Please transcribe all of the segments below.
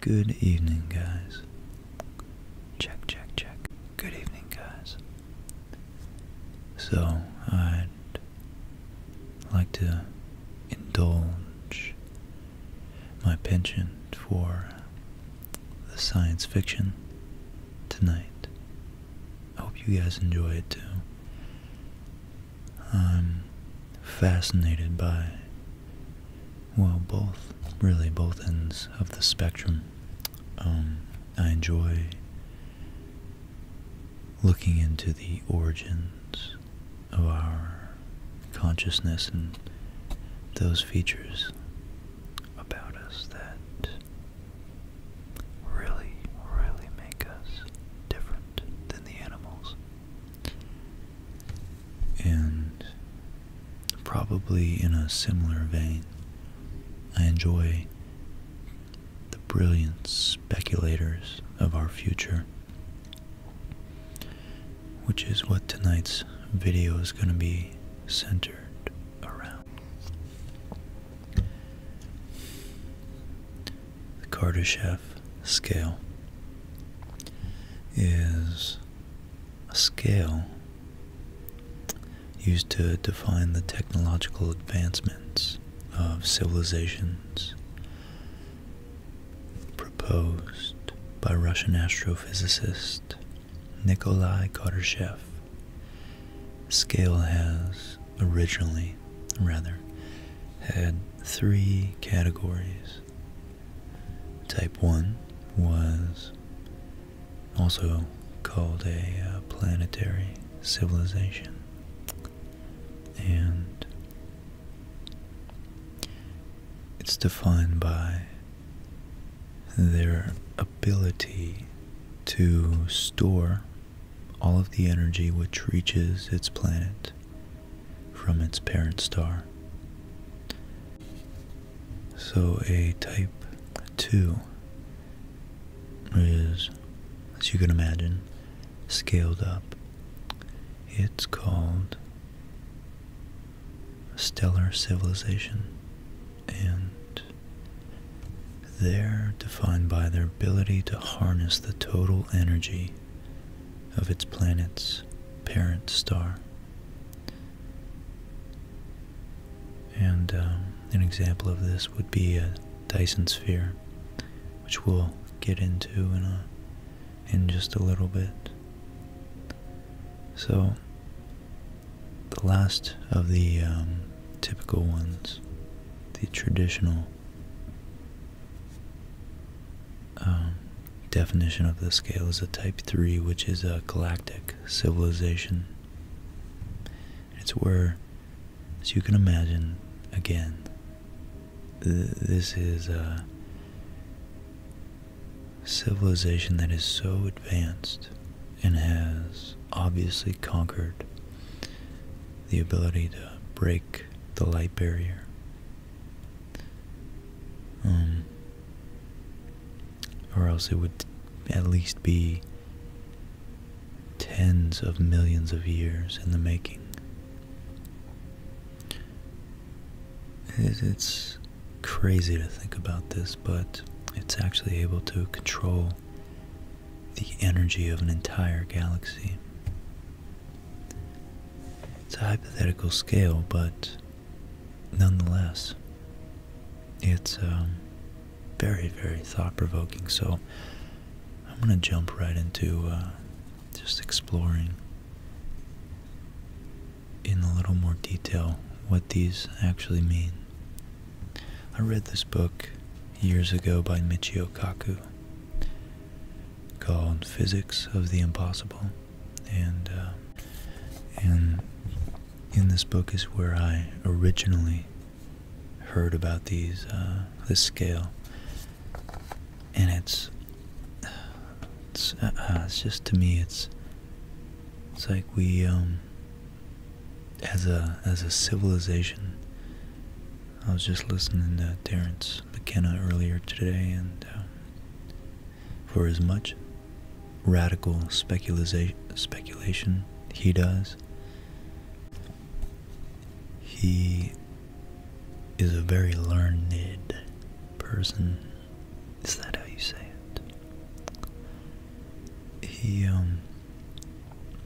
Good evening, guys. Check, check, check. Good evening, guys. So, I'd like to indulge my penchant for the science fiction tonight. I hope you guys enjoy it too. I'm fascinated by, well, both, really both ends of the spectrum. Um, I enjoy looking into the origins of our consciousness and those features about us that really, really make us different than the animals. And probably in a similar vein, I enjoy the brilliant speculators of our future, which is what tonight's video is going to be centered the Kardashev scale is a scale used to define the technological advancements of civilizations proposed by Russian astrophysicist Nikolai Kardashev Scale has originally, rather, had three categories. Type 1 was also called a uh, planetary civilization, and it's defined by their ability to store all of the energy which reaches its planet from its parent star. So a type 2 is, as you can imagine, scaled up. It's called stellar civilization and they're defined by their ability to harness the total energy of its planet's parent star. And um, an example of this would be a Dyson sphere, which we'll get into in in just a little bit. So the last of the um, typical ones, the traditional um, definition of the scale is a type 3, which is a galactic civilization. It's where, as you can imagine, again, this is a civilization that is so advanced and has obviously conquered the ability to break the light barrier. Um, or else it would at least be tens of millions of years in the making. It's crazy to think about this, but it's actually able to control the energy of an entire galaxy. It's a hypothetical scale, but nonetheless, it's um, very, very thought provoking. So I'm going to jump right into uh, just exploring in a little more detail what these actually mean. I read this book years ago by Michio Kaku called Physics of the Impossible, and uh, and in this book is where I originally heard about these uh, this scale, and it's it's, uh, it's just to me it's it's like we um as a as a civilization. I was just listening to Terrence McKenna earlier today, and uh, for as much radical speculation he does, he is a very learned person. Is that how you say it? He um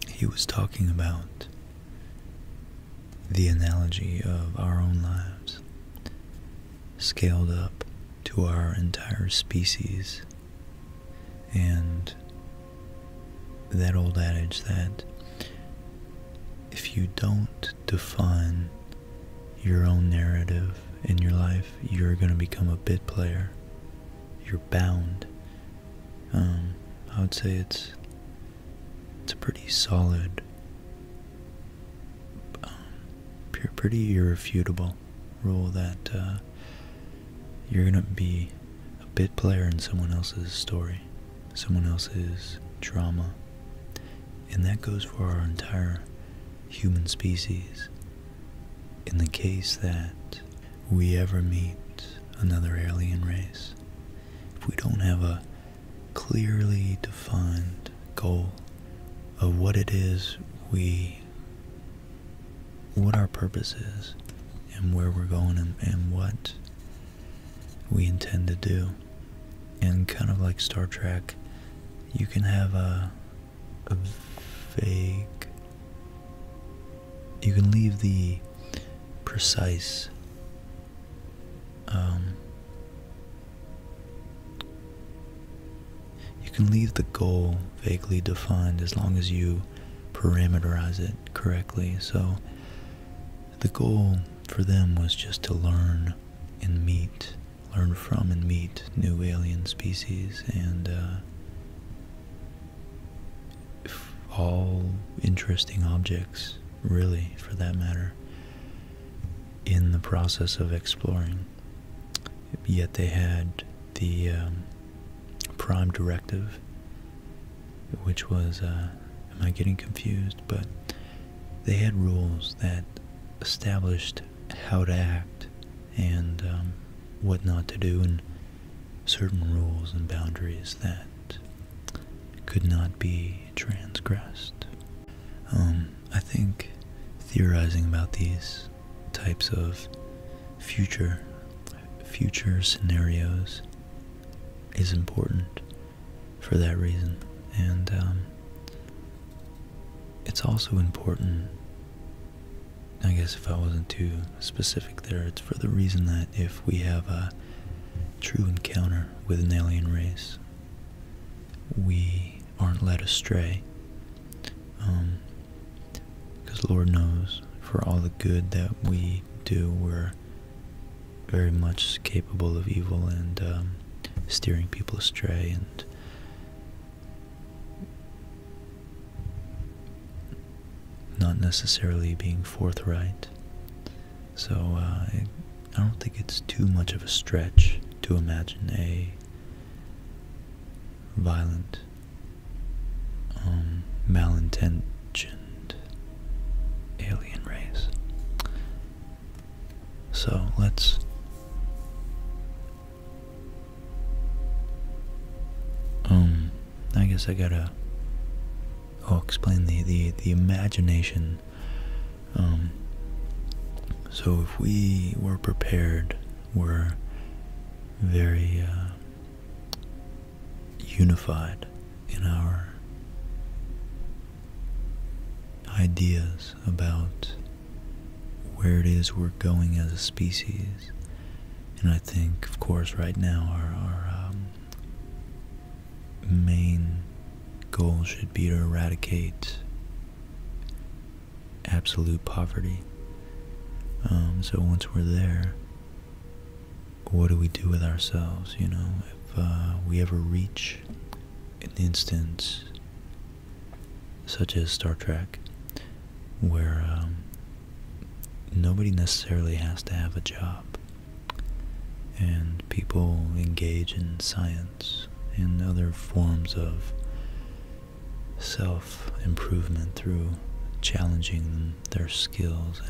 he was talking about the analogy of our own lives scaled up to our entire species and that old adage that if you don't define your own narrative in your life, you're going to become a bit player. You're bound um, I would say it's it's a pretty solid, um, pretty irrefutable rule that uh, you're gonna be a bit player in someone else's story, someone else's drama, and that goes for our entire human species. In the case that we ever meet another alien race, if we don't have a clearly defined goal of what it is we, what our purpose is, and where we're going, and, what we intend to do. And kind of like Star Trek, you can have a, a vague you can leave the precise um, you can leave the goal vaguely defined as long as you parameterize it correctly so the goal for them was just to learn and meet learn from and meet new alien species and uh, all interesting objects, really, for that matter, in the process of exploring. Yet they had the um, prime directive, which was, uh, am I getting confused? But they had rules that established how to act and um, what not to do and certain rules and boundaries that could not be transgressed. Um, I think theorizing about these types of future future scenarios is important for that reason, and um, it's also important I guess if I wasn't too specific there, it's for the reason that if we have a true encounter with an alien race, we aren't led astray. Because um, Lord knows, for all the good that we do, we're very much capable of evil and um, steering people astray and not necessarily being forthright. So uh, I don't think it's too much of a stretch to imagine a violent, um, malintentioned alien race. So let's um I guess I gotta oh, explain the, the, the imagination. Um, so if we were prepared, we're very uh, unified in our ideas about where it is we're going as a species and I think, of course, right now our, um, main goal should be to eradicate absolute poverty. Um, so once we're there, what do we do with ourselves? You know, if uh, we ever reach an instance such as Star Trek, where um, nobody necessarily has to have a job. And people engage in science and other forms of self improvement through challenging their skills.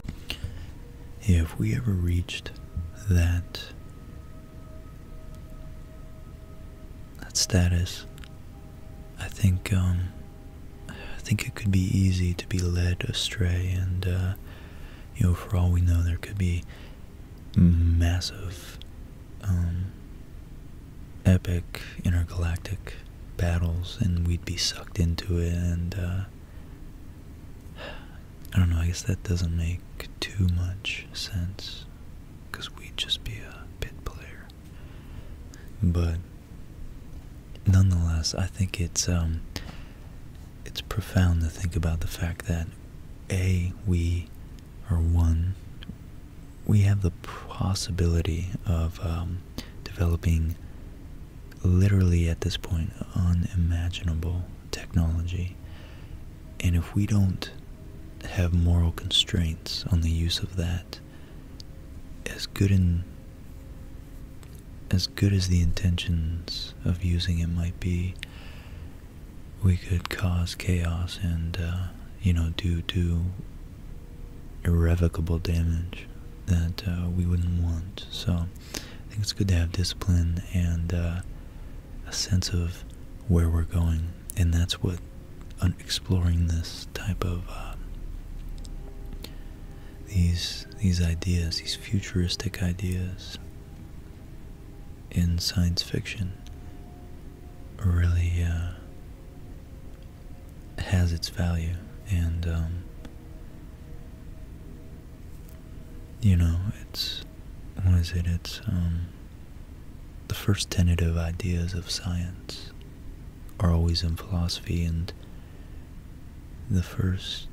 If we ever reached that that status, I think um, I think it could be easy to be led astray, and uh, you know, for all we know, there could be massive, um, epic intergalactic battles, and we'd be sucked into it. And uh, I don't know. I guess that doesn't make too much sense, because we'd just be a bit player but nonetheless, I think it's um, it's profound to think about the fact that a we are one. We have the possibility of um, developing literally at this point unimaginable technology, and if we don't have moral constraints on the use of that, as good in as good as the intentions of using it might be, we could cause chaos and uh, you know do do irrevocable damage that uh, we wouldn't want. So I think it's good to have discipline and uh, a sense of where we're going, and that's what exploring this type of um, these these ideas, these futuristic ideas in science fiction really uh, has its value and um, you know it's what is it it's um, the first tentative ideas of science are always in philosophy and the first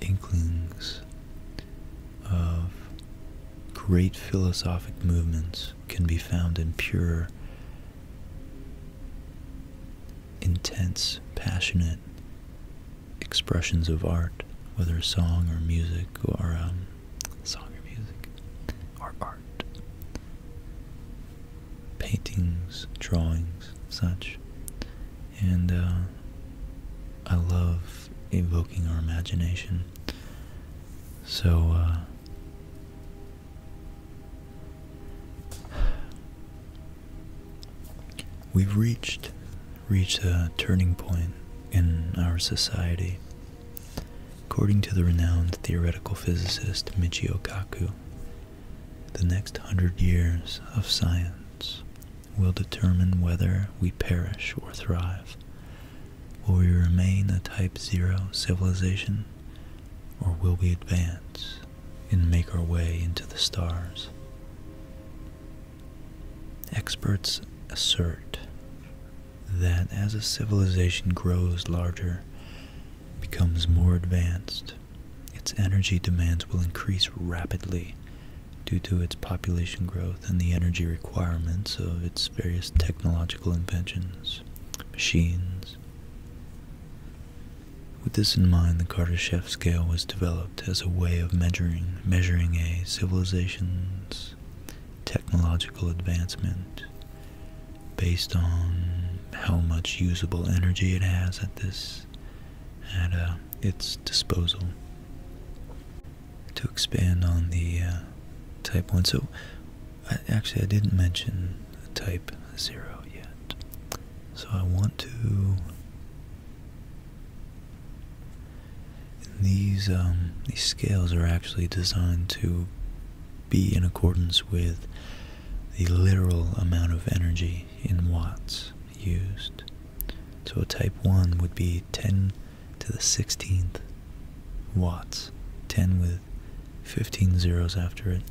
inklings of great philosophic movements can be found in pure, intense, passionate expressions of art, whether song or music or um, song or music or art paintings, drawings, such. And uh, I love evoking our imagination. So, uh, we've reached reached a turning point in our society According to the renowned theoretical physicist Michio Kaku, the next hundred years of science will determine whether we perish or thrive. Will we remain a type zero civilization, or will we advance and make our way into the stars? Experts assert that as a civilization grows larger, becomes more advanced, its energy demands will increase rapidly due to its population growth and the energy requirements of its various technological inventions, machines. With this in mind, the Kardashev scale was developed as a way of measuring measuring a civilization's technological advancement based on how much usable energy it has at this at uh, its disposal. To expand on the uh, type 1, so actually I didn't mention type 0 yet, so I want to, these, um, these scales are actually designed to be in accordance with the literal amount of energy in watts used. So a type 1 would be 10 to the 16th watts, 10 with 15 zeros after it.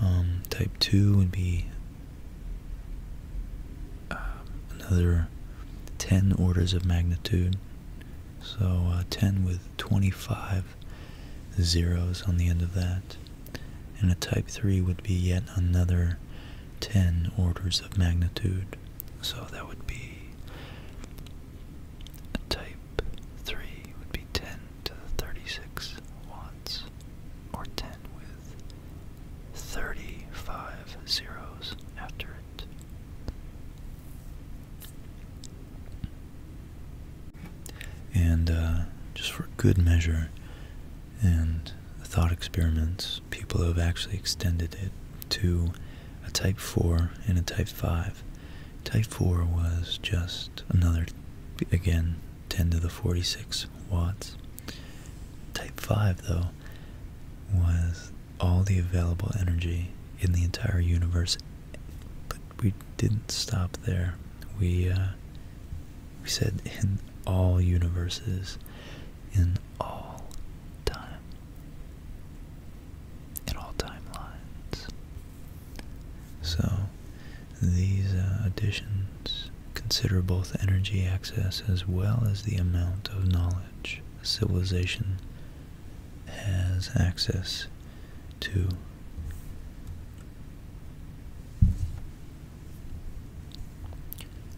Um, type 2 would be uh, another 10 orders of magnitude. So uh, 10 with 25 zeros on the end of that. And a type 3 would be yet another 10 orders of magnitude. So that would be a type 3 would be 10 to the 36 watts, or 10 with 35 zeros after it. And uh, just for good measure and thought experiments, people have actually extended it to a type 4 and a type 5. Type 4 was just another, again, 10 to the 46 watts. Type 5, though, was all the available energy in the entire universe. But we didn't stop there we uh, we said in all universes, in all time, in all timelines. So these uh, additions consider both energy access as well as the amount of knowledge civilization has access to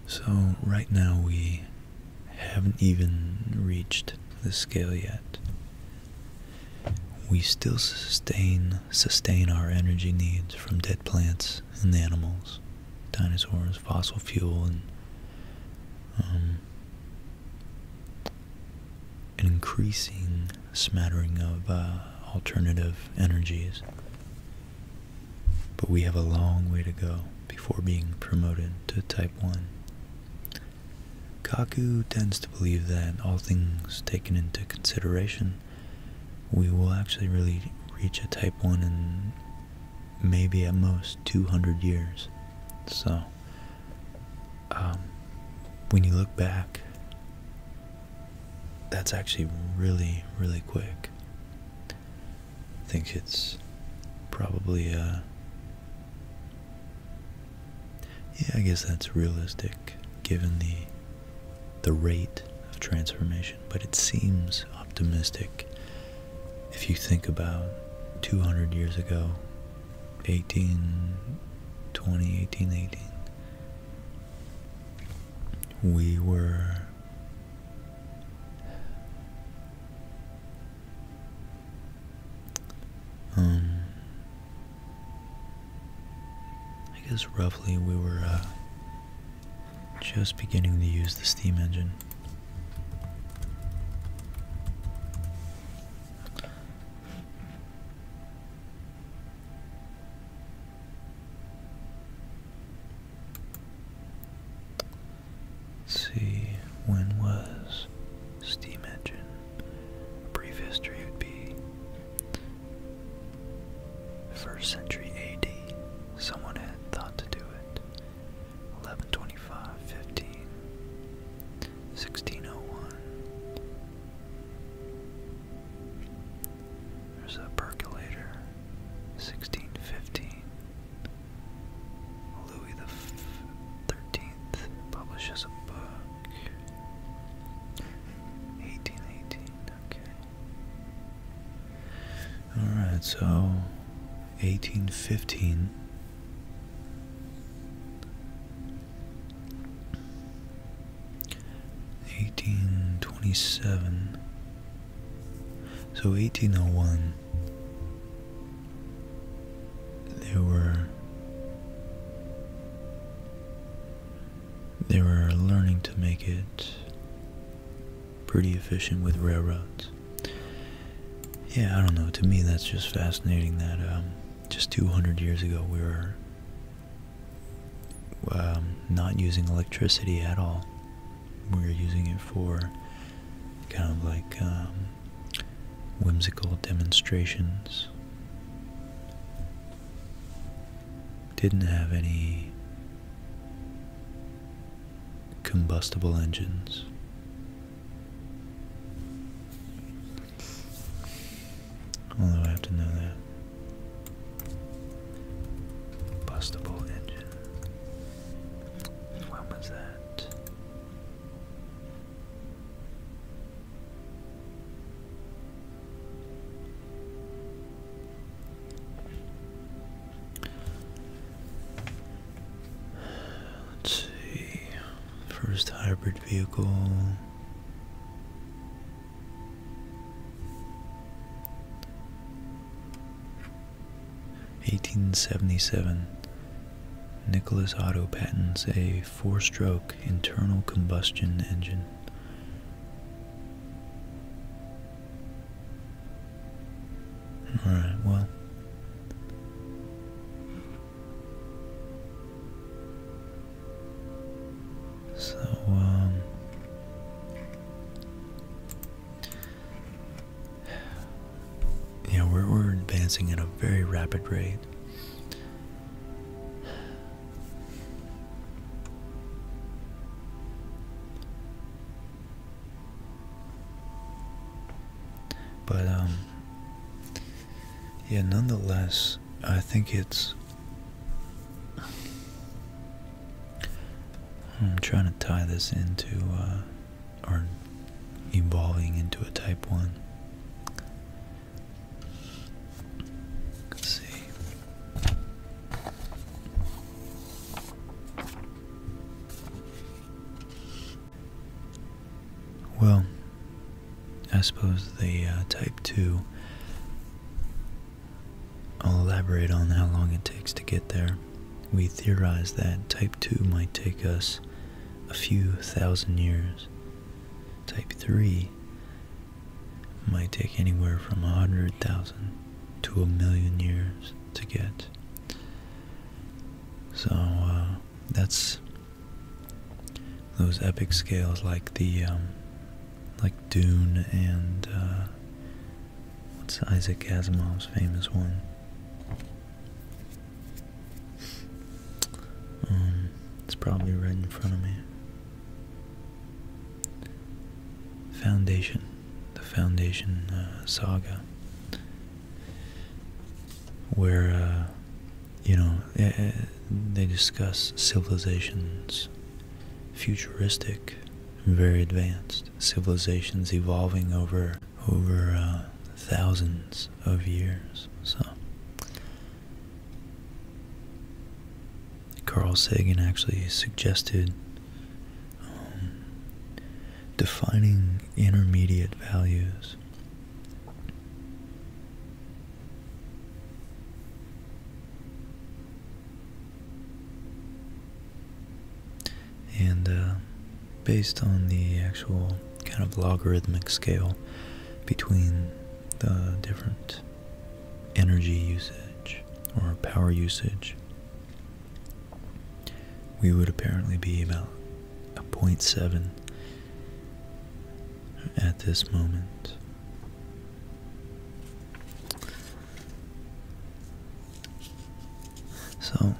so, right now we haven't even reached the scale yet. We still sustain sustain our energy needs from dead plants and animals, dinosaurs, fossil fuel, and um, an increasing smattering of uh, alternative energies. But we have a long way to go before being promoted to type 1. Kaku tends to believe that, all things taken into consideration, we will actually really reach a type 1 in maybe at most 200 years. So, um, when you look back, that's actually really, really quick. I think it's probably, uh, yeah, I guess that's realistic given the the rate of transformation, but it seems optimistic if you think about 200 years ago 18, 20, 18, 18, we were um I guess roughly we were uh, just beginning to use the steam engine see, when was steam engine? A brief history would be first century AD. Someone had thought to do it. 1125, 15, 1601, there's a percolator, 1615. Louis the Thirteenth publishes a book. 1818. Okay. All right. So, 1815. 1827 so 1801 there were they were learning to make it pretty efficient with railroads yeah i don't know to me that's just fascinating that um, just 200 years ago we were um, not using electricity at all. we were using it for kind of like um, whimsical demonstrations. Didn't have any combustible engines. Although I have to know that. Bustable engine. When was that? Let's see. First hybrid vehicle. 1877 Nicholas Otto patents a four-stroke internal combustion engine. 18 so, um, yeah, we're, we're advancing at a very rapid rate. But, um, yeah, nonetheless, I think it's I'm trying to tie this into, uh, or evolving into a type 1. Let's see. Well, I suppose the uh, Type 2, I'll elaborate on how long it takes to get there. We theorize that Type 2 might take us a few thousand years. Type 3 might take anywhere from 100,000 to a million years to get. So uh, that's those epic scales like the um, like Dune and uh, what's Isaac Asimov's famous one. Um, it's probably right in front of me. Foundation, the Foundation uh, saga, where uh, you know, eh, eh, they discuss civilizations, futuristic, very advanced civilizations evolving over over uh, thousands of years. So Carl Sagan actually suggested um, defining intermediate values. And uh, based on the actual kind of logarithmic scale between the different energy usage or power usage, we would apparently be about a 0.7 at this moment. So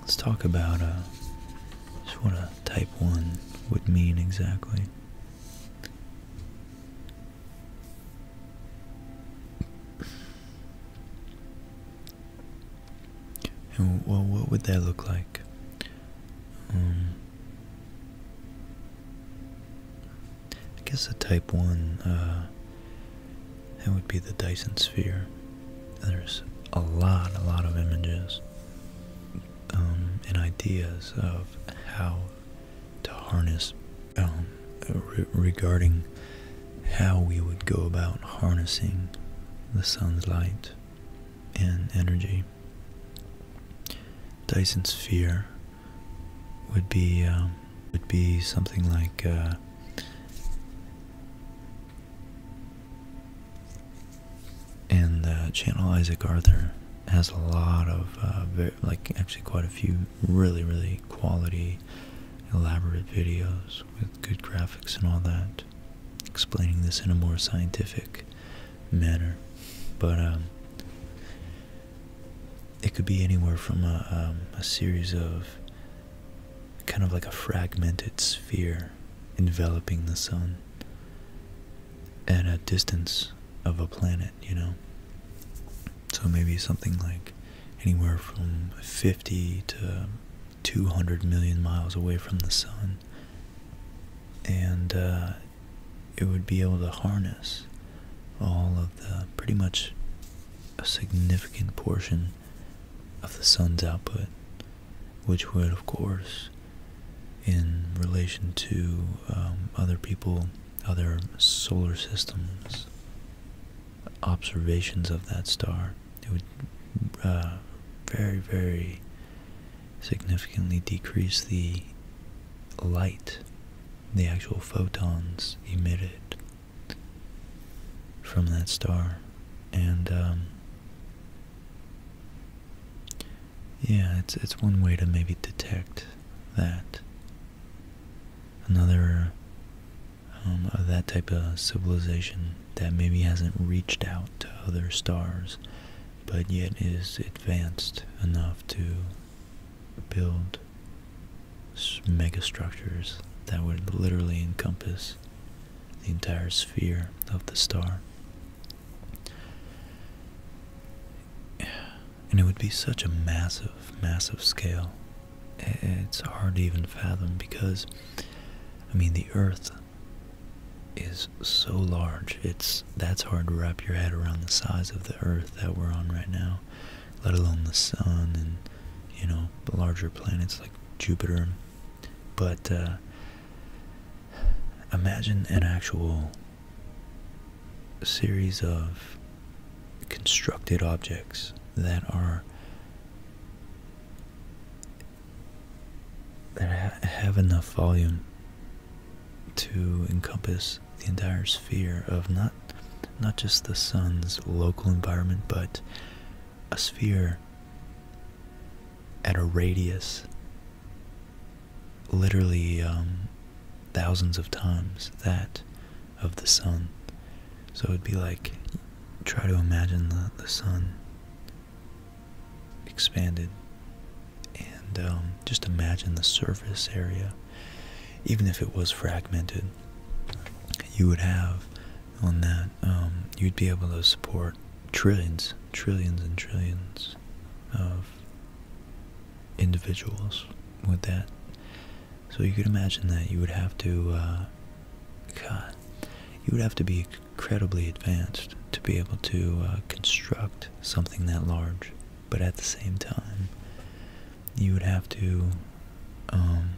let's talk about just what a type 1 would mean exactly. And well, what would that look like? Um, I guess the type 1, uh, that would be the Dyson Sphere. There's a lot, a lot of images um, and ideas of how to harness, um, regarding how we would go about harnessing the sun's light and energy. Dyson sphere would be um, would be something like uh, and uh, channel Isaac Arthur has a lot of uh, like actually quite a few really really quality elaborate videos with good graphics and all that explaining this in a more scientific manner but um, it could be anywhere from um, a, series of kind of like a fragmented sphere enveloping the sun at a distance of a planet, you know? So maybe something like anywhere from 50 to 200 million miles away from the sun. And uh, it would be able to harness all of the pretty much a significant portion of the sun's output, which would, of course, in relation to um, other people, other solar systems, observations of that star, it would uh, very, very significantly decrease the light, the actual photons emitted from that star. And, um, yeah, it's, it's one way to maybe detect that. Another um, of that type of civilization that maybe hasn't reached out to other stars but yet is advanced enough to build megastructures that would literally encompass the entire sphere of the star. And it would be such a massive, massive scale. It's hard to even fathom because, I mean, the Earth is so large. It's that's hard to wrap your head around the size of the Earth that we're on right now, let alone the Sun and you know larger planets like Jupiter. But uh, imagine an actual series of constructed objects that are that have enough volume to encompass the entire sphere of not not just the sun's local environment but a sphere at a radius literally um, thousands of times that of the sun so it'd be like try to imagine the, the sun expanded and um, just imagine the surface area, even if it was fragmented, you would have on that, um, you'd be able to support trillions, trillions, and trillions of individuals with that. So you could imagine that you would have to, uh, God, you would have to be incredibly advanced to be able to uh, construct something that large but at the same time, you would have to um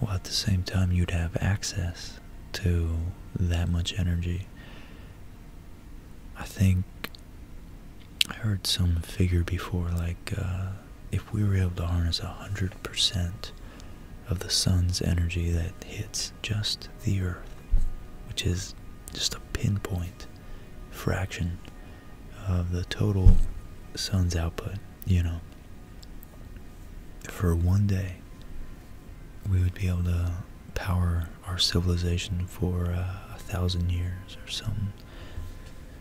well at the same time you'd have access to that much energy. I think I heard some figure before like uh, if we were able to harness a hundred percent of the sun's energy that hits just the earth, which is just a pinpoint fraction of the total sun's output, you know. For one day, we would be able to power our civilization for uh, a thousand years or some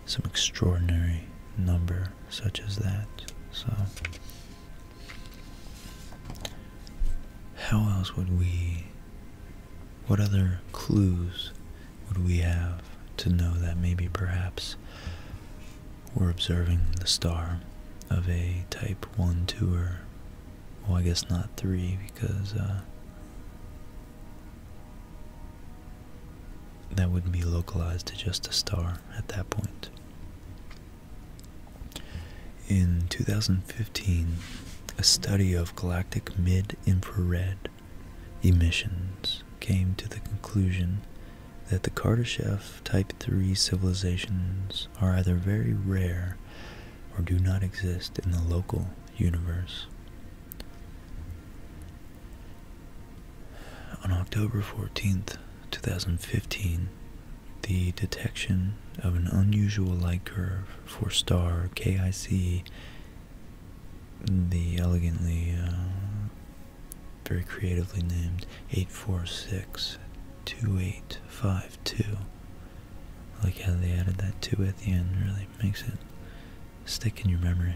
some extraordinary number such as that. So how else would we, what other clues would we have to know that maybe perhaps we're observing the star of a type 1, Tour? well, I guess not 3 because uh, that wouldn't be localized to just a star at that point. In 2015, a study of galactic mid infrared emissions came to the conclusion that the Kardashev Type III civilizations are either very rare or do not exist in the local universe. On October 14th, 2015, the detection of an unusual light curve for star KIC, the elegantly, uh, very creatively named 8462852. like how they added that 2 at the end, really makes it stick in your memory.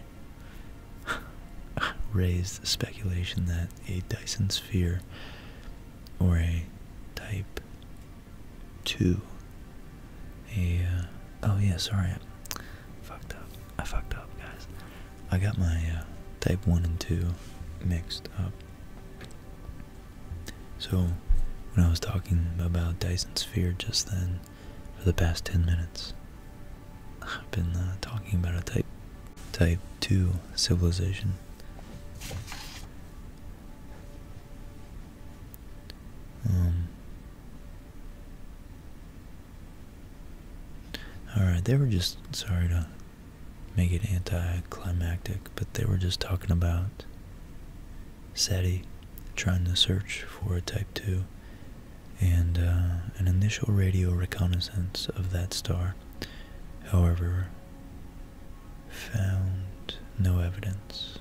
Raised speculation that a Dyson sphere or a type 2 a uh, oh yeah sorry I fucked up I fucked up guys I got my uh, type 1 and 2 mixed up so when I was talking about Dyson sphere just then for the past 10 minutes I've been uh, talking about a type Type 2 civilization. Um, alright, they were just, sorry to make it anticlimactic, but they were just talking about SETI trying to search for a Type 2 and uh, an initial radio reconnaissance of that star. However, found no evidence.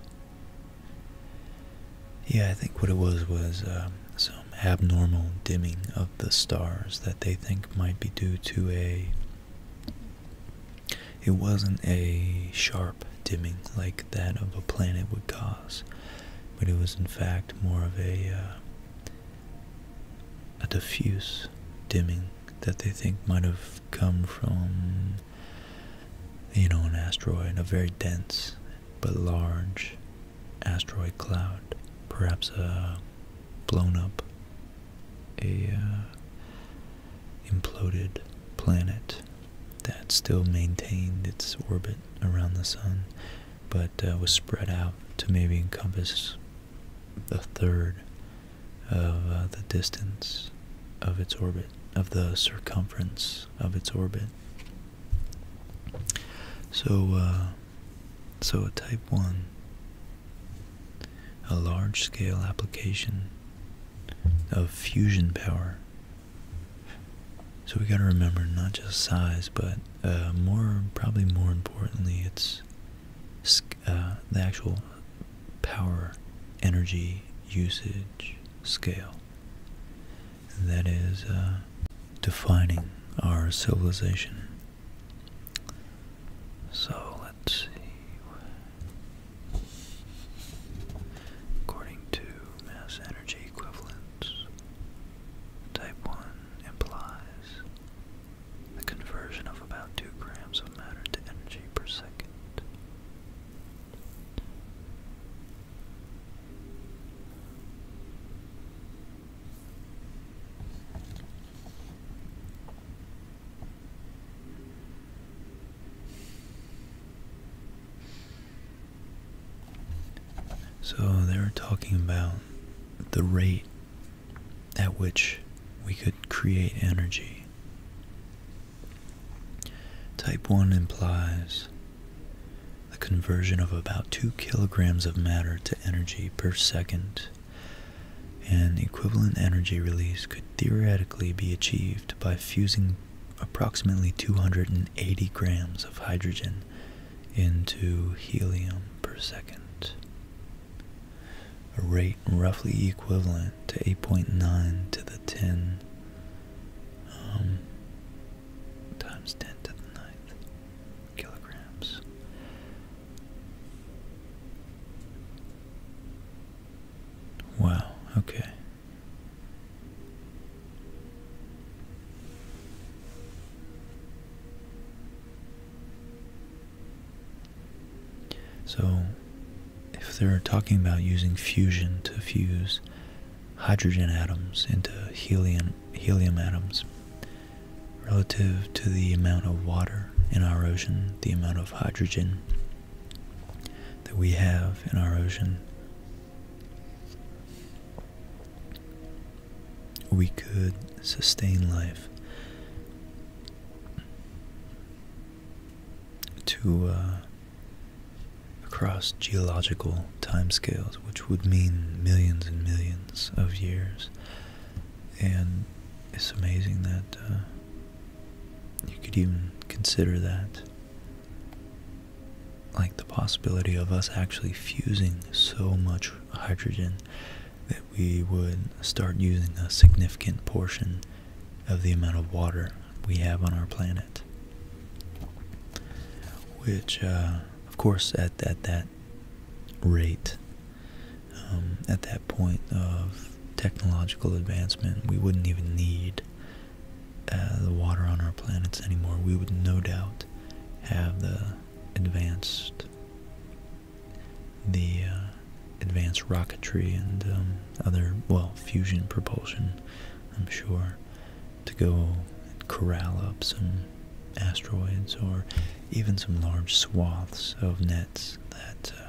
Yeah, I think what it was was um, some abnormal dimming of the stars that they think might be due to a. It wasn't a sharp dimming like that of a planet would cause, but it was in fact more of a uh, a diffuse dimming that they think might have come from you know an asteroid a very dense but large asteroid cloud perhaps a blown up a uh, imploded planet that still maintained its orbit around the sun but uh, was spread out to maybe encompass the third of uh, the distance of its orbit, of the circumference of its orbit. So, uh, so a type 1, a large scale application of fusion power. So we got to remember not just size, but uh, more, probably more importantly, it's sc uh, the actual power energy usage scale that is uh, defining our civilization. So let's see. According to mass energy equivalence, type 1 implies the conversion of about 2 grams of matter to energy per second. So they were talking about the rate at which we could create energy. Type 1 implies the conversion of about 2 kilograms of matter to energy per second, and equivalent energy release could theoretically be achieved by fusing approximately 280 grams of hydrogen into helium per second a rate roughly equivalent to 8.9 to the 10 um, times 10 to the 9th kilograms. Wow, okay. So, if they're talking about using fusion to fuse hydrogen atoms into helium, helium atoms, relative to the amount of water in our ocean, the amount of hydrogen that we have in our ocean, we could sustain life to uh, across geological scales, which would mean millions and millions of years. And it's amazing that uh, you could even consider that like the possibility of us actually fusing so much hydrogen we would start using a significant portion of the amount of water we have on our planet. Which, uh, of course, at, at that rate, um, at that point of technological advancement, we wouldn't even need uh, the water on our planets anymore. We would no doubt have the advanced the uh, advanced rocketry and um, other, well, fusion propulsion, I'm sure, to go corral up some asteroids or even some large swaths of nets that uh,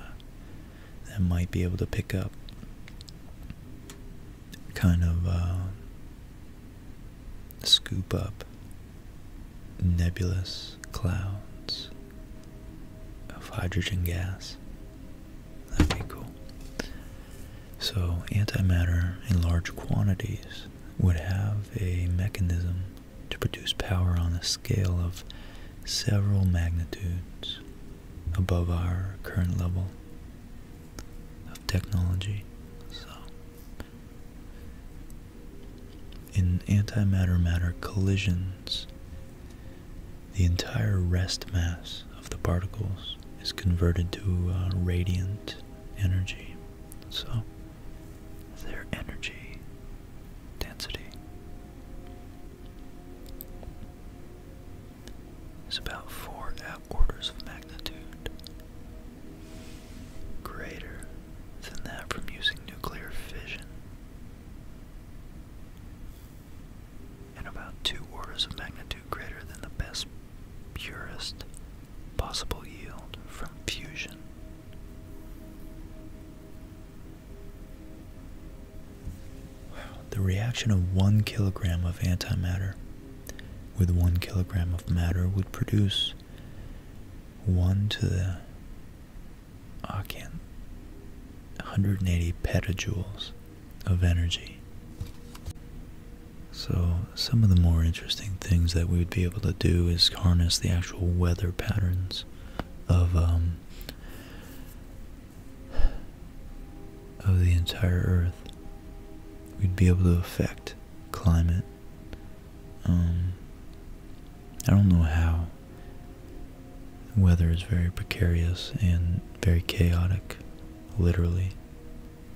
that might be able to pick up kind of uh, scoop up nebulous clouds of hydrogen gas. That'd be cool. So antimatter in large quantities would have a mechanism to produce power on a scale of several magnitudes above our current level of technology. So in antimatter matter collisions, the entire rest mass of the particles is converted to uh, radiant energy. So, their energy density is about four orders of magnitude greater than that from using nuclear fission and about two orders of magnitude greater than the best, purest possible yield from fusion. The reaction of one kilogram of antimatter with one kilogram of matter would produce one to the I 180 petajoules of energy. So, some of the more interesting things that we would be able to do is harness the actual weather patterns of, um, of the entire Earth. We'd be able to affect climate. Um, I don't know how Weather is very precarious and very chaotic, literally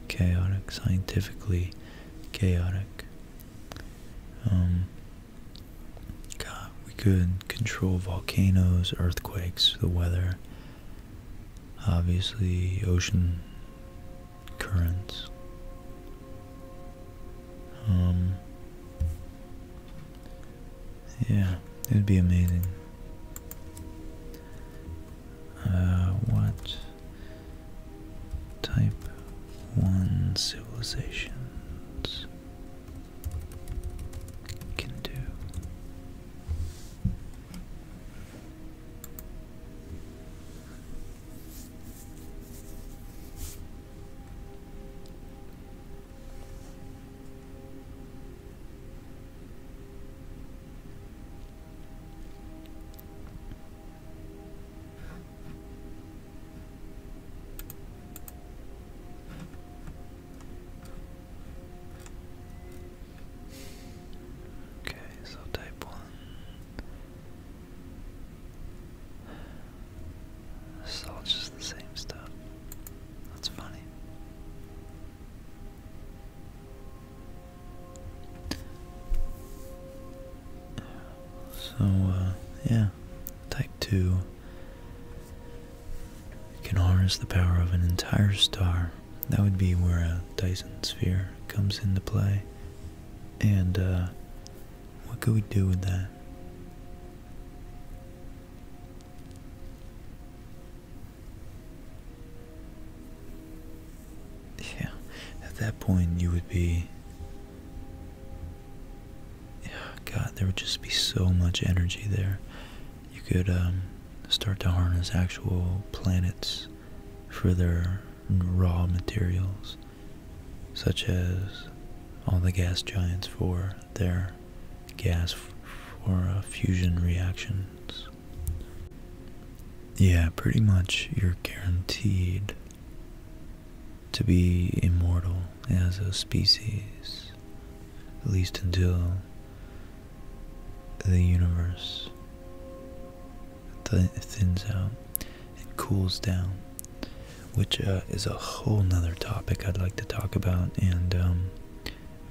chaotic, scientifically chaotic. Um, God, we could control volcanoes, earthquakes, the weather, obviously ocean currents. Um, yeah, it'd be amazing. Uh, what type one civilizations can do? Okay, so type one. It's all just the same stuff. That's funny. So, uh, yeah. Type 2 can harness the power of an entire star. That would be where a Dyson sphere comes into play. And, uh, what could we do with that? Yeah, at that point you would be. God, there would just be so much energy there. You could um, start to harness actual planets for their raw materials such as all the gas giants for their gas for uh, fusion reactions. Yeah, pretty much you're guaranteed to be immortal as a species, at least until the universe thins out and cools down which uh, is a whole nother topic I'd like to talk about and um,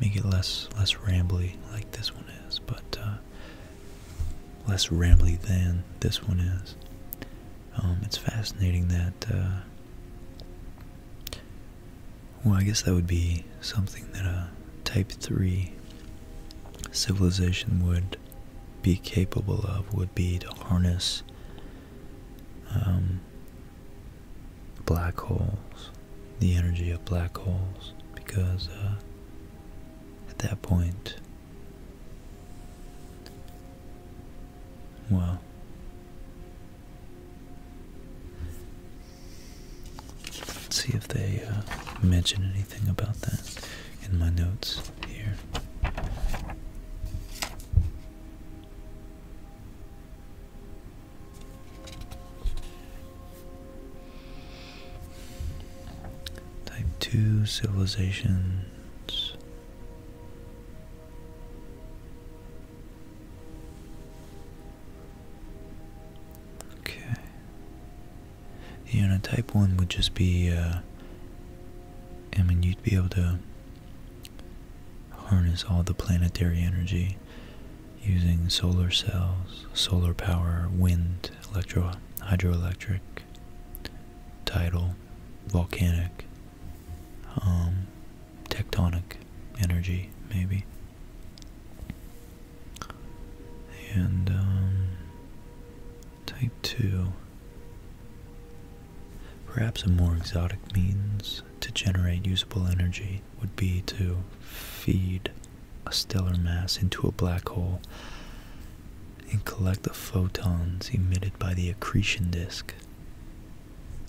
make it less less rambly like this one is, but uh, less rambly than this one is. Um, it's fascinating that. Uh, well, I guess that would be something that a Type 3 civilization would be capable of, would be to harness um, black holes, the energy of black holes, because uh, at that point, well, let's see if they uh, mention anything about that in my notes here. Type 2 civilizations. Okay. You know, type 1 would just be, uh, I mean, you'd be able to harness all the planetary energy using solar cells, solar power, wind, hydroelectric, tidal, volcanic, um, tectonic energy, maybe. And um, type 2 Perhaps a more exotic means to generate usable energy would be to feed a stellar mass into a black hole and collect the photons emitted by the accretion disk.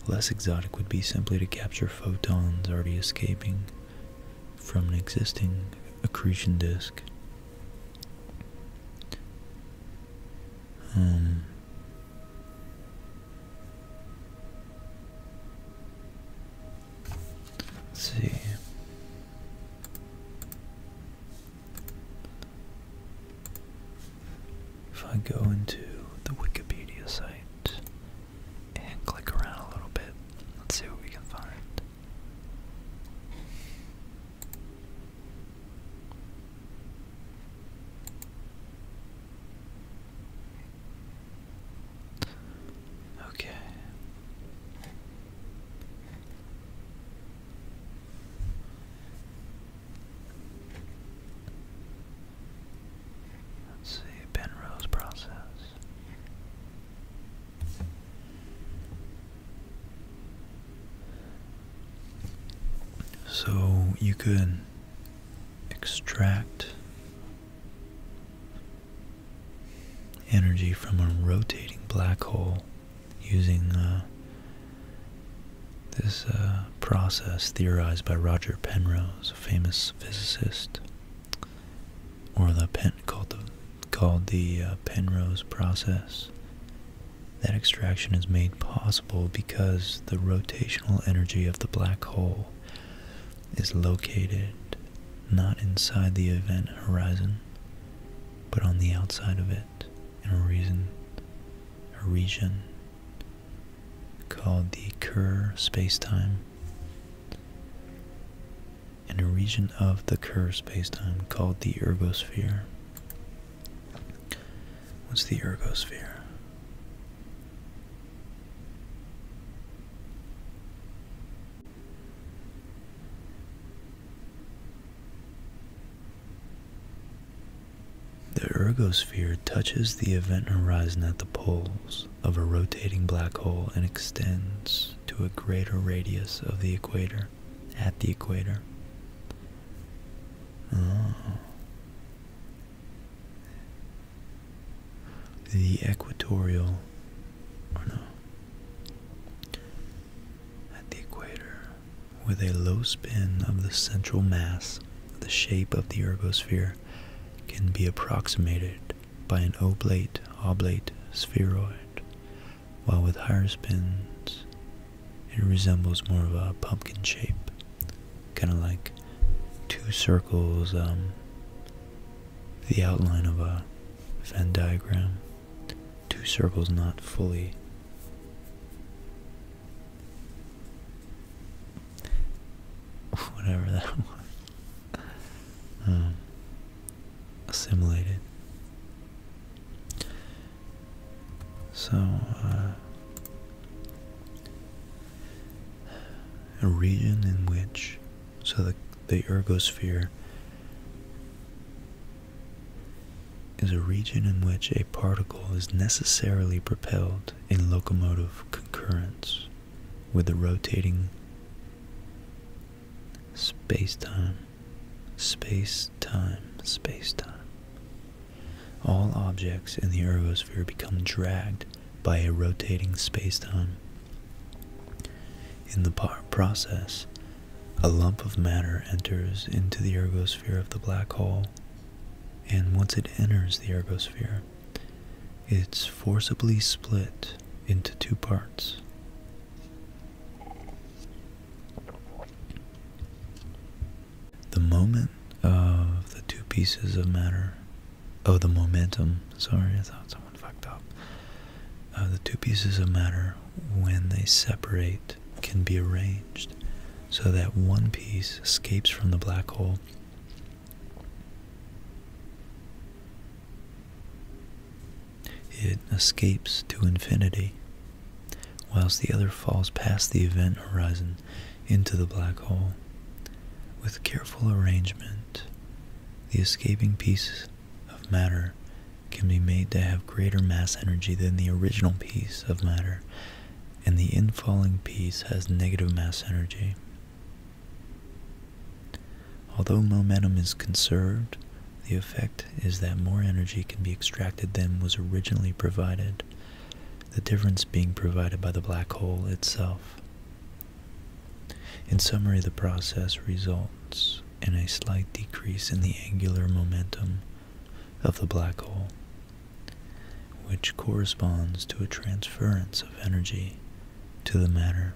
Less exotic would be simply to capture photons already escaping from an existing accretion disk. Um, Let's see. If I go into the Wikipedia site and click around a little bit, let's see what we can find. Okay. Let's see, Penrose process. So you could extract energy from a rotating black hole using uh, this uh, process theorized by Roger Penrose, a famous physicist, or the pen called the uh, Penrose process. That extraction is made possible because the rotational energy of the black hole is located not inside the event horizon, but on the outside of it in a region called the Kerr spacetime. And a region of the Kerr spacetime called the ergosphere. What's the ergosphere? The ergosphere touches the event horizon at the poles of a rotating black hole and extends to a greater radius of the equator at the equator. Oh. The equatorial, at the equator, with a low spin of the central mass, the shape of the ergosphere can be approximated by an oblate oblate spheroid, while with higher spins, it resembles more of a pumpkin shape, kind of like two circles, um, the outline of a Venn diagram. Two circles not fully whatever that was um, assimilated so, uh, a region in which, so the, ergosphere is a region in which a particle is necessarily propelled in locomotive concurrence with the rotating space-time, space-time, space-time. All objects in the ergosphere become dragged by a rotating spacetime. In the process, a lump of matter enters into the ergosphere of the black hole, and once it enters the ergosphere, it's forcibly split into two parts. The moment of the two pieces of matter, of oh, the momentum, sorry, I thought someone fucked up. Uh, the two pieces of matter, when they separate, can be arranged so that one piece escapes from the black hole it escapes to infinity, whilst the other falls past the event horizon into the black hole. With careful arrangement, the escaping piece of matter can be made to have greater mass energy than the original piece of matter, and the infalling piece has negative mass energy. Although momentum is conserved, the effect is that more energy can be extracted than was originally provided the difference being provided by the black hole itself. In summary, the process results in a slight decrease in the angular momentum of the black hole, which corresponds to a transference of energy to the matter.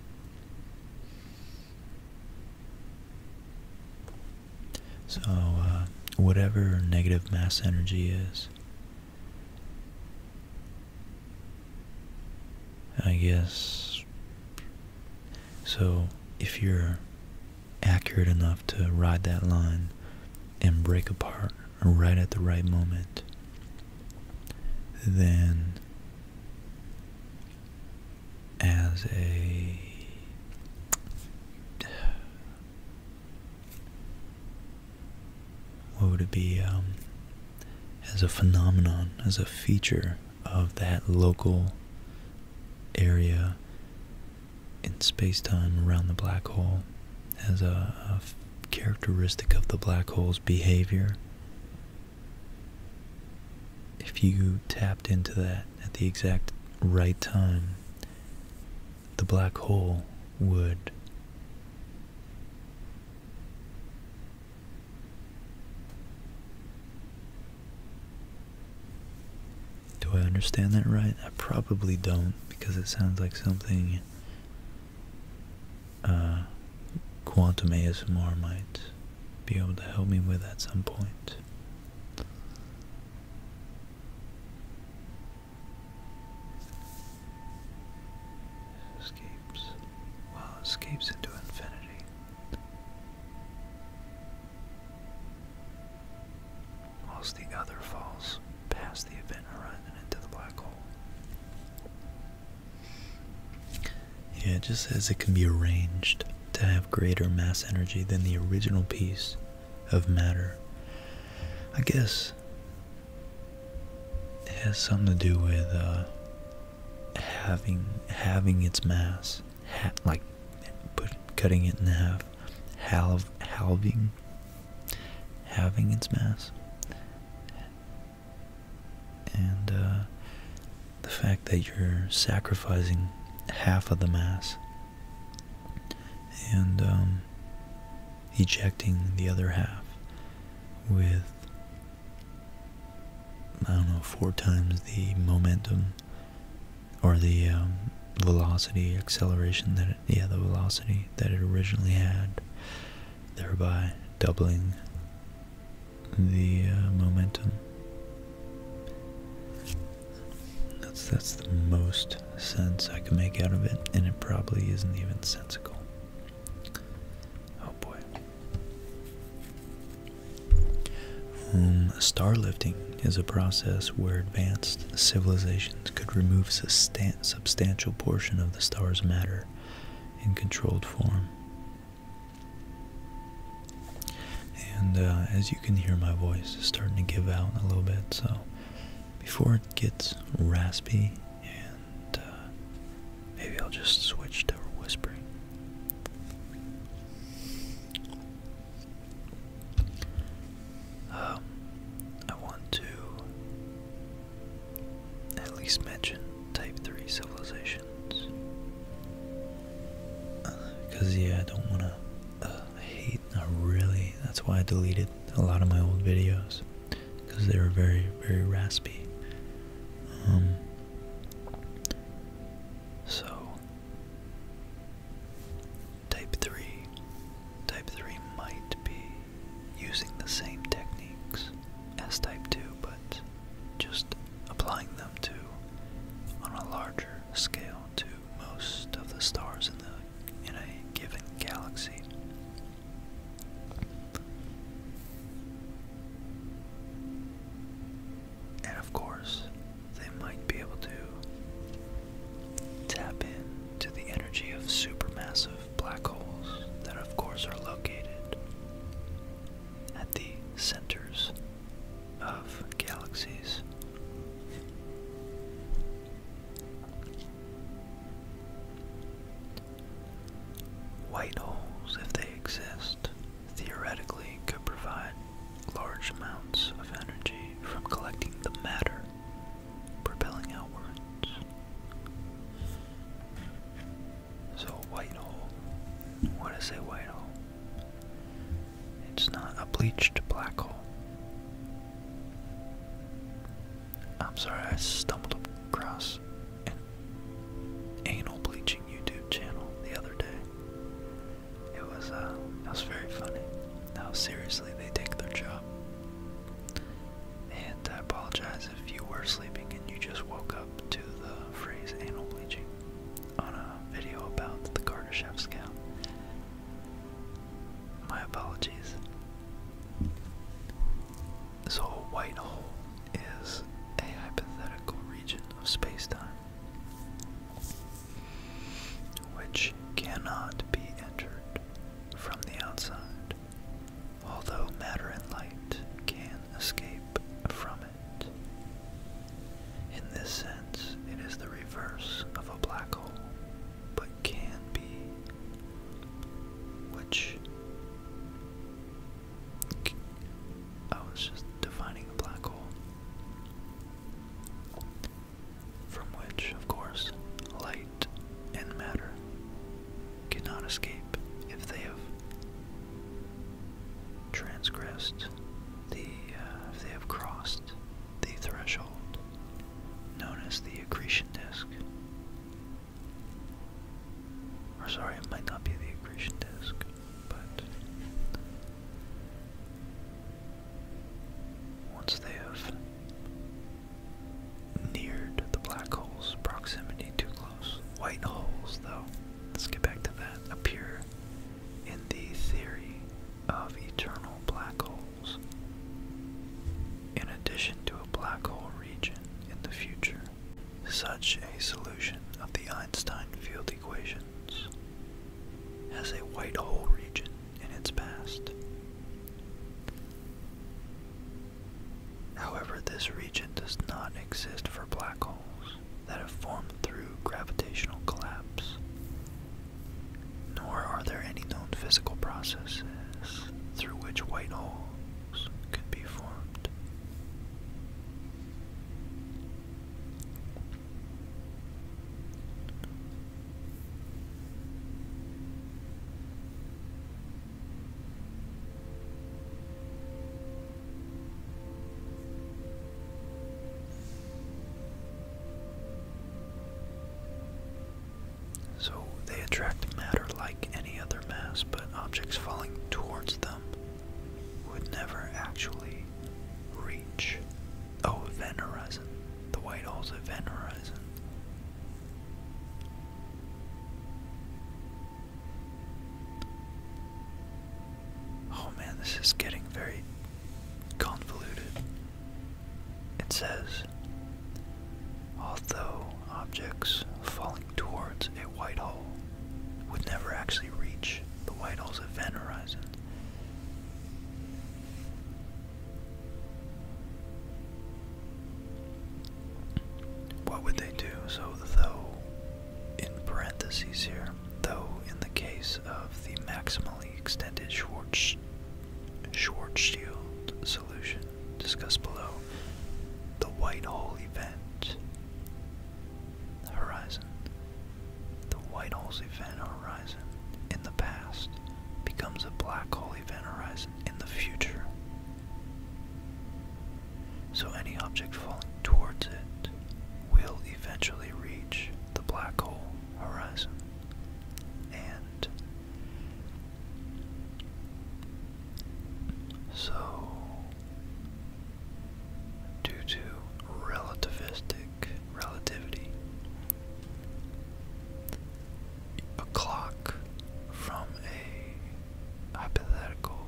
So, uh, whatever negative mass energy is, I guess. So, if you're accurate enough to ride that line and break apart right at the right moment, then as a what would it be um, as a phenomenon, as a feature of that local area in spacetime around the black hole, as a characteristic of the black hole's behavior? If you tapped into that at the exact right time, the black hole would do I understand that right? I probably don't because it sounds like something uh, quantum ASMR might be able to help me with at some point. Escapes. Well, escapes into infinity. Whilst the other falls past the event horizon into the black hole. Yeah, it just says it can be arranged to have greater mass energy than the original piece of matter. I guess it has something to do with uh, having having its mass, like put, cutting it in half, halving, having its mass, and uh, the fact that you're sacrificing half of the mass and um, ejecting the other half with, I don't know, four times the momentum or the um, velocity, acceleration that, it, yeah, the velocity that it originally had, thereby doubling the uh, momentum. That's that's the most sense I can make out of it, and it probably isn't even sensible. Oh boy. Um, Star lifting is a process where advanced civilizations could remove sustain substantial portion of the star's matter in controlled form. And uh, as you can hear, my voice is starting to give out a little bit, so before it gets raspy, and uh, maybe I'll just switch to whispering. Um, I want to at least mention Type 3 civilizations. Because, uh, yeah, I don't want to uh, hate not really that's why I deleted a lot of my old videos because they were very very raspy um, so type 3 type 3 might be using the same techniques as type 2 but just applying them to on a larger scale to most of the stars in the in a given galaxy. And of course, they might be able to tap into the energy of supermassive black holes that, of course, are located at the centers of galaxies. White holes, if they exist, theoretically could provide large amounts of energy from collecting the matter, propelling outwards. So, a white hole, what is a white hole? It's not a bleached black hole. I'm sorry I stumbled across an anal bleaching YouTube channel the other day. It was it uh, was very funny. How seriously they take their job. And I apologize if you were sleeping and you just woke up to the phrase anal bleaching on a video about the Kardashev scout. My apologies. So, a white hole is a hypothetical region of spacetime which cannot be entered from the outside, although matter and light can escape from it. In this sense, it is the reverse of a black hole but can be, which I was just defining a black hole. From which, of course, light and matter cannot escape if they have transgressed the, uh, if they have crossed the threshold, known as the accretion disk. Or sorry, it might not be the accretion disk, but once they have neared the black hole's proximity too close. White holes, though, let's get back to that, appear in the theory of eternal black holes. In addition to a black hole region in the future, such a solution of the Einstein field equations has a white hole region in its past. However, this region does not exist for black holes that have formed through gravitational collapse nor are there any known physical processes through which white holes could be formed. So they attract matter like any other mass, but objects falling towards them would never actually reach. Oh, event horizon. The white hole's event horizon. Oh man, this is getting very convoluted. It says, although objects falling towards a white hole would never actually reach the white hole's event horizon, what would they do? So, though, in parentheses here, though in the case of the maximally extended Schwarzschild solution, discussed below, the white hole event horizon. The white hole event horizon in the past becomes a black hole event horizon in the future. So any object falling towards it will eventually reach the black hole horizon. And so, due to relativistic relativity, a clock from a hypothetical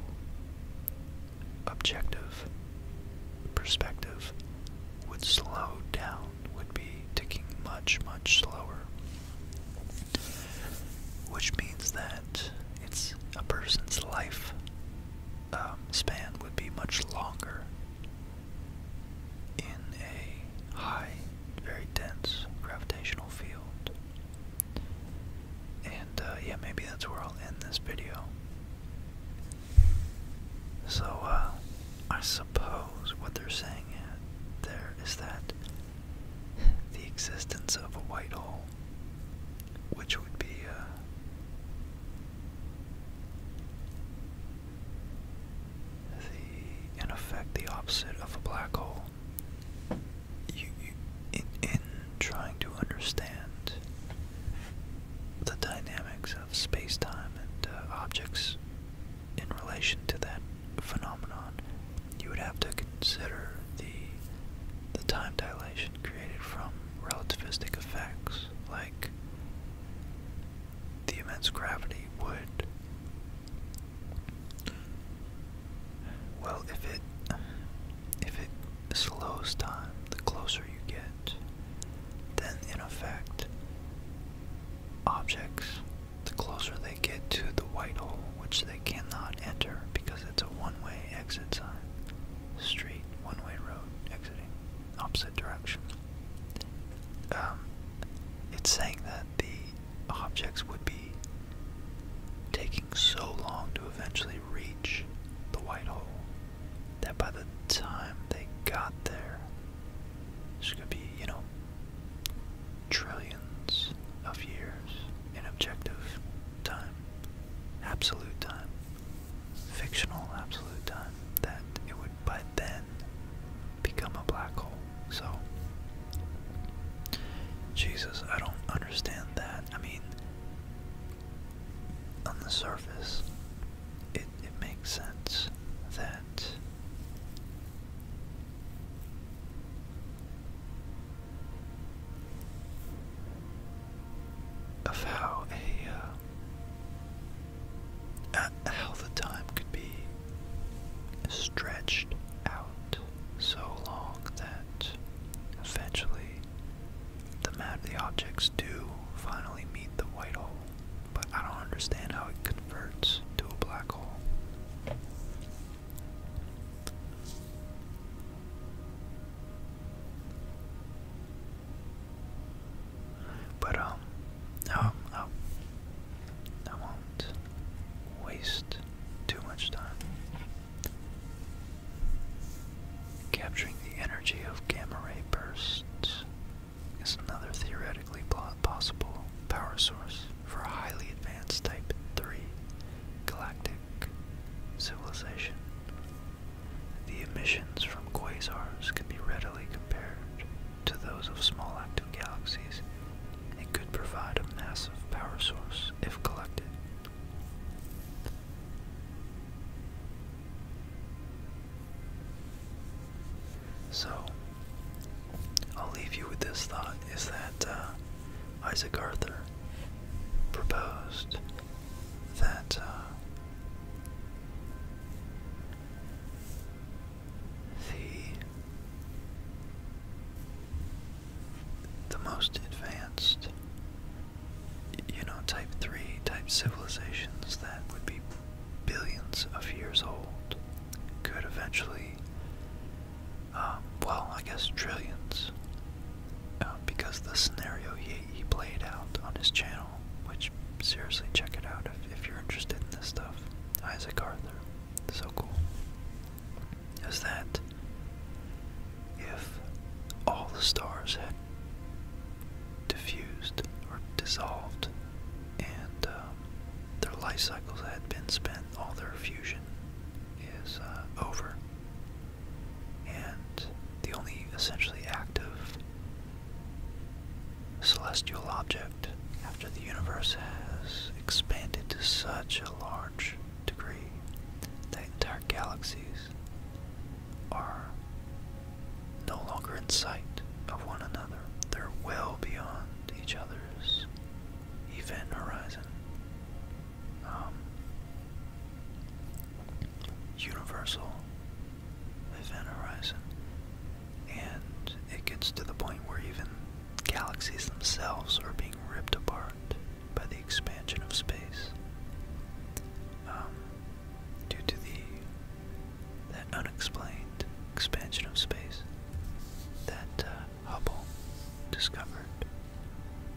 objective perspective would slow down would be ticking much, much slower. Which means that it's a person's life um, span would be much longer in a high, very dense gravitational field. And uh, yeah, maybe that's where I'll end this video. So, uh, I suppose what they're saying there is that the existence of a white hole, which would be uh, the in effect the opposite of a black hole. in in trying to understand the dynamics of space-time and uh, objects in relation to that phenomenon, you would have to consider the the time dilation created from relativistic effects, like the immense gravity would. Well, if it if it slows time, the closer you get, then in effect, objects the closer they get to the white hole, which they cannot enter because it's a one-way exit sign, street, one-way road, exiting, opposite direction. Um, it's saying that the objects would be taking so long to eventually reach the white hole that by the time they got there, it's going to be, you know, trillions of years in objective time, absolute time, fictional absolute time, that it would by then become a black hole. So, Jesus, I don't understand that. I mean, on the surface, it, it makes sense that of how a how uh, the time could be stretched out so long that eventually the map the objects do finally meet the white hole but I don't understand how it converts to a black hole. But um, I, I won't waste too much time. Capturing the energy of gamma ray bursts is another theoretically possible power source for a highly advanced Type 3 galactic civilization. The emissions from quasars can be readily compared to those of small active galaxies and could provide a massive power source if collected. So, I'll leave you with this thought is that uh, Isaac Arthur proposed that uh, the the most advanced you know type 3 type civilizations that would be billions of years old could eventually, um, well, I guess trillions, uh, because the scenario he, he played out on his channel, which seriously check it out if, if you're interested in this stuff, Isaac Arthur, so cool, is that if all the stars had diffused or dissolved and um, their life cycles had been spent, all their fusion is uh, over. And the only essentially active celestial object after the universe has expanded to such a large degree that entire galaxies are no longer in sight of one another. They're well beyond each other's event horizon, um, universal event horizon, and it gets to the point where even galaxies themselves are being ripped apart by the expansion of space um, due to the that unexplained expansion of space that uh, Hubble discovered.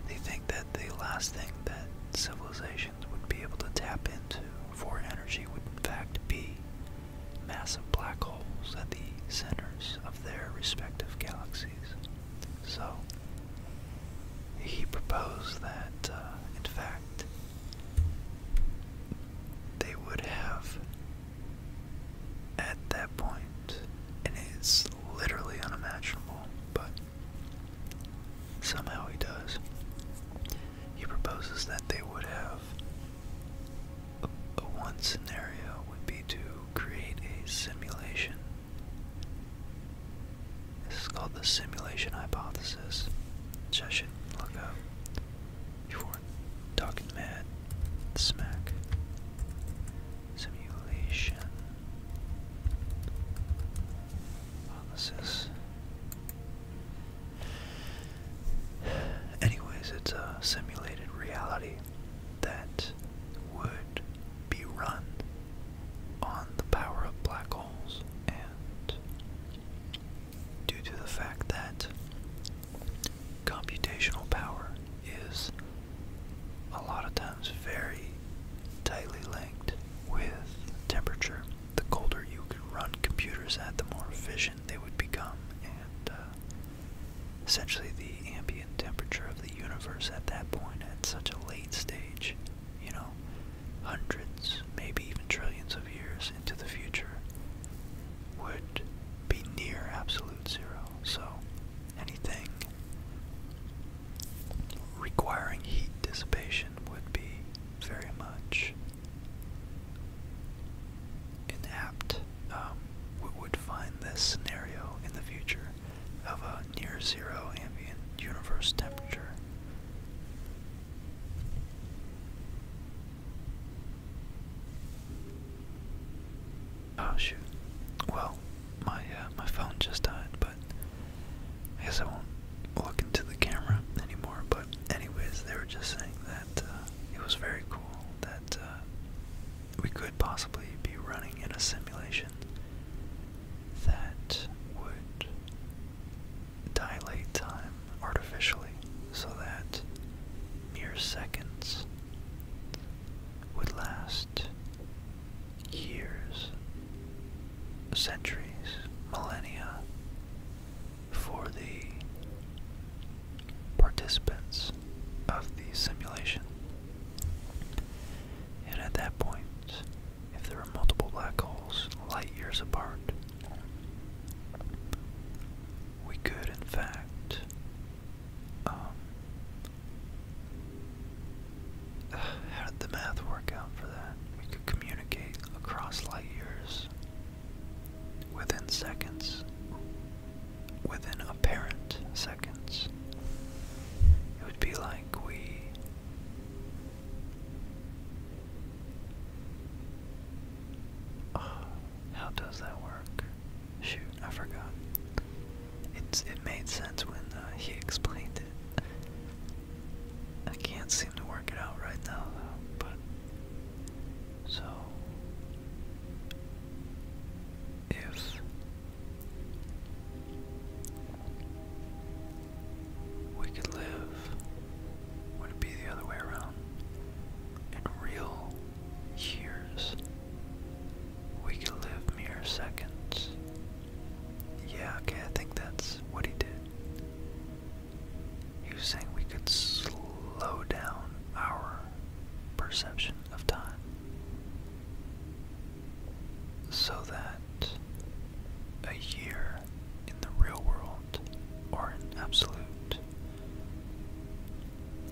They think that the last thing that civilizations would be able to tap into for energy would, in fact, be massive black holes at the centers of their respective galaxies. So, he proposed that, uh, in fact, they would have at that point, and it's literally unimaginable, but somehow he does. He proposes that they would have a, one scenario would be to create a simulation. This is called the simulation hypothesis, which should look up before Corn, talking mad, smack, simulation, analysis. Anyways, it's a simulated reality that would be run on the power of black holes and due to the fact that computational power is a lot of times very tightly linked with temperature. The colder you can run computers at, the more efficient they would become, and uh, essentially the ambient temperature of the universe at that point, at such a late stage, you know, hundreds, maybe even trillions of years into the future, would be near absolute zero. So anything requiring heat dissipation would be very much inapt. Um, we would find this scenario in the future of a near zero ambient universe temperature. Oh shoot. Well, my uh, my phone just died, but I guess I won't look into the camera anymore. But anyways, they were just saying that uh, it was very cool that uh, we could possibly be running in a simulation that would dilate time artificially so that mere seconds would last years, centuries, millennia for the participants of the simulation. And at that point, if there are multiple black holes light years apart, we could, in fact, um, how did the math work out for that? We could communicate across light years within seconds, within apparent seconds. It would be like we. how does that work? Shoot, I forgot. It's it made sense when uh, he explained it. I can't seem to work it out right now though, but so if we could live, would it be the other way around? In real years. We could live mere seconds. Yeah, okay, I think that's what he did. You was saying we could slow down our perception of time so that a year in the real world are in absolute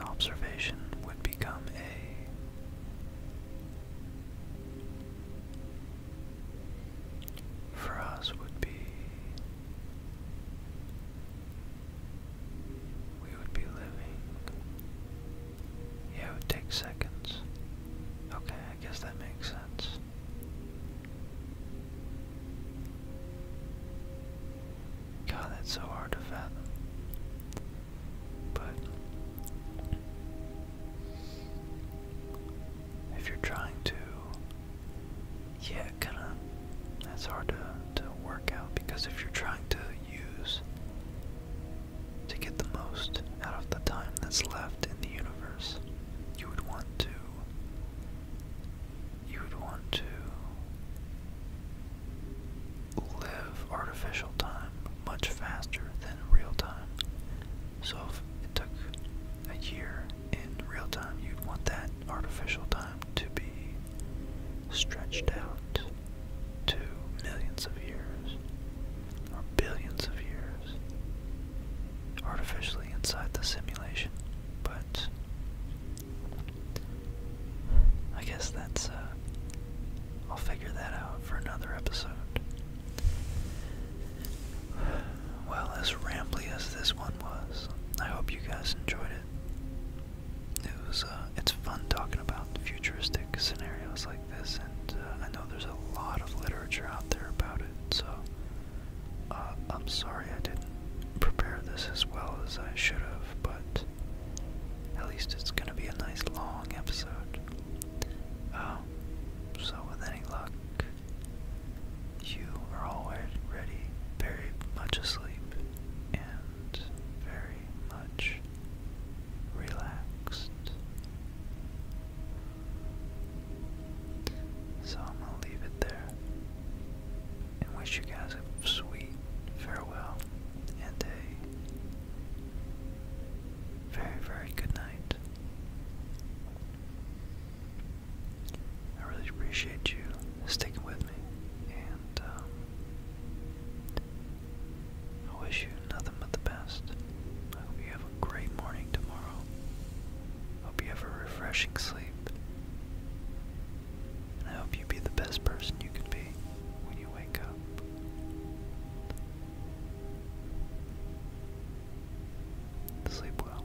observation would become a for would be we would be living yeah it would take seconds okay I guess that makes sense God, that's so hard to fathom. But if you're trying to, yeah, kind of, that's hard to, to work out because if you're trying to use to get the most out of the time that's left in the universe, you would want to you would want to live artificial time much faster than real time. So if it took a year in real time, you'd want that artificial time to be stretched out to millions of years or billions of years artificially inside the simulation. But I guess that's, uh, I'll figure that out for another episode. Well, as rambly as this one was, I hope you guys enjoyed it. It was, uh, it's fun talking about futuristic scenarios like this, and uh, I know there's a lot of literature out there about it, so I'm sorry I didn't prepare this as well as I should have, but at least it's gonna be a nice long episode. Um, so with any luck, you are already very much asleep and very much relaxed. So I'm gonna leave it there and wish you guys a sweet farewell and a very, very good night. I really appreciate you sticking with me, and um, I wish you nothing but the best. I hope you have a great morning tomorrow. Hope you have a refreshing sleep. I hope you be the best person you can be when you wake up. Sleep well.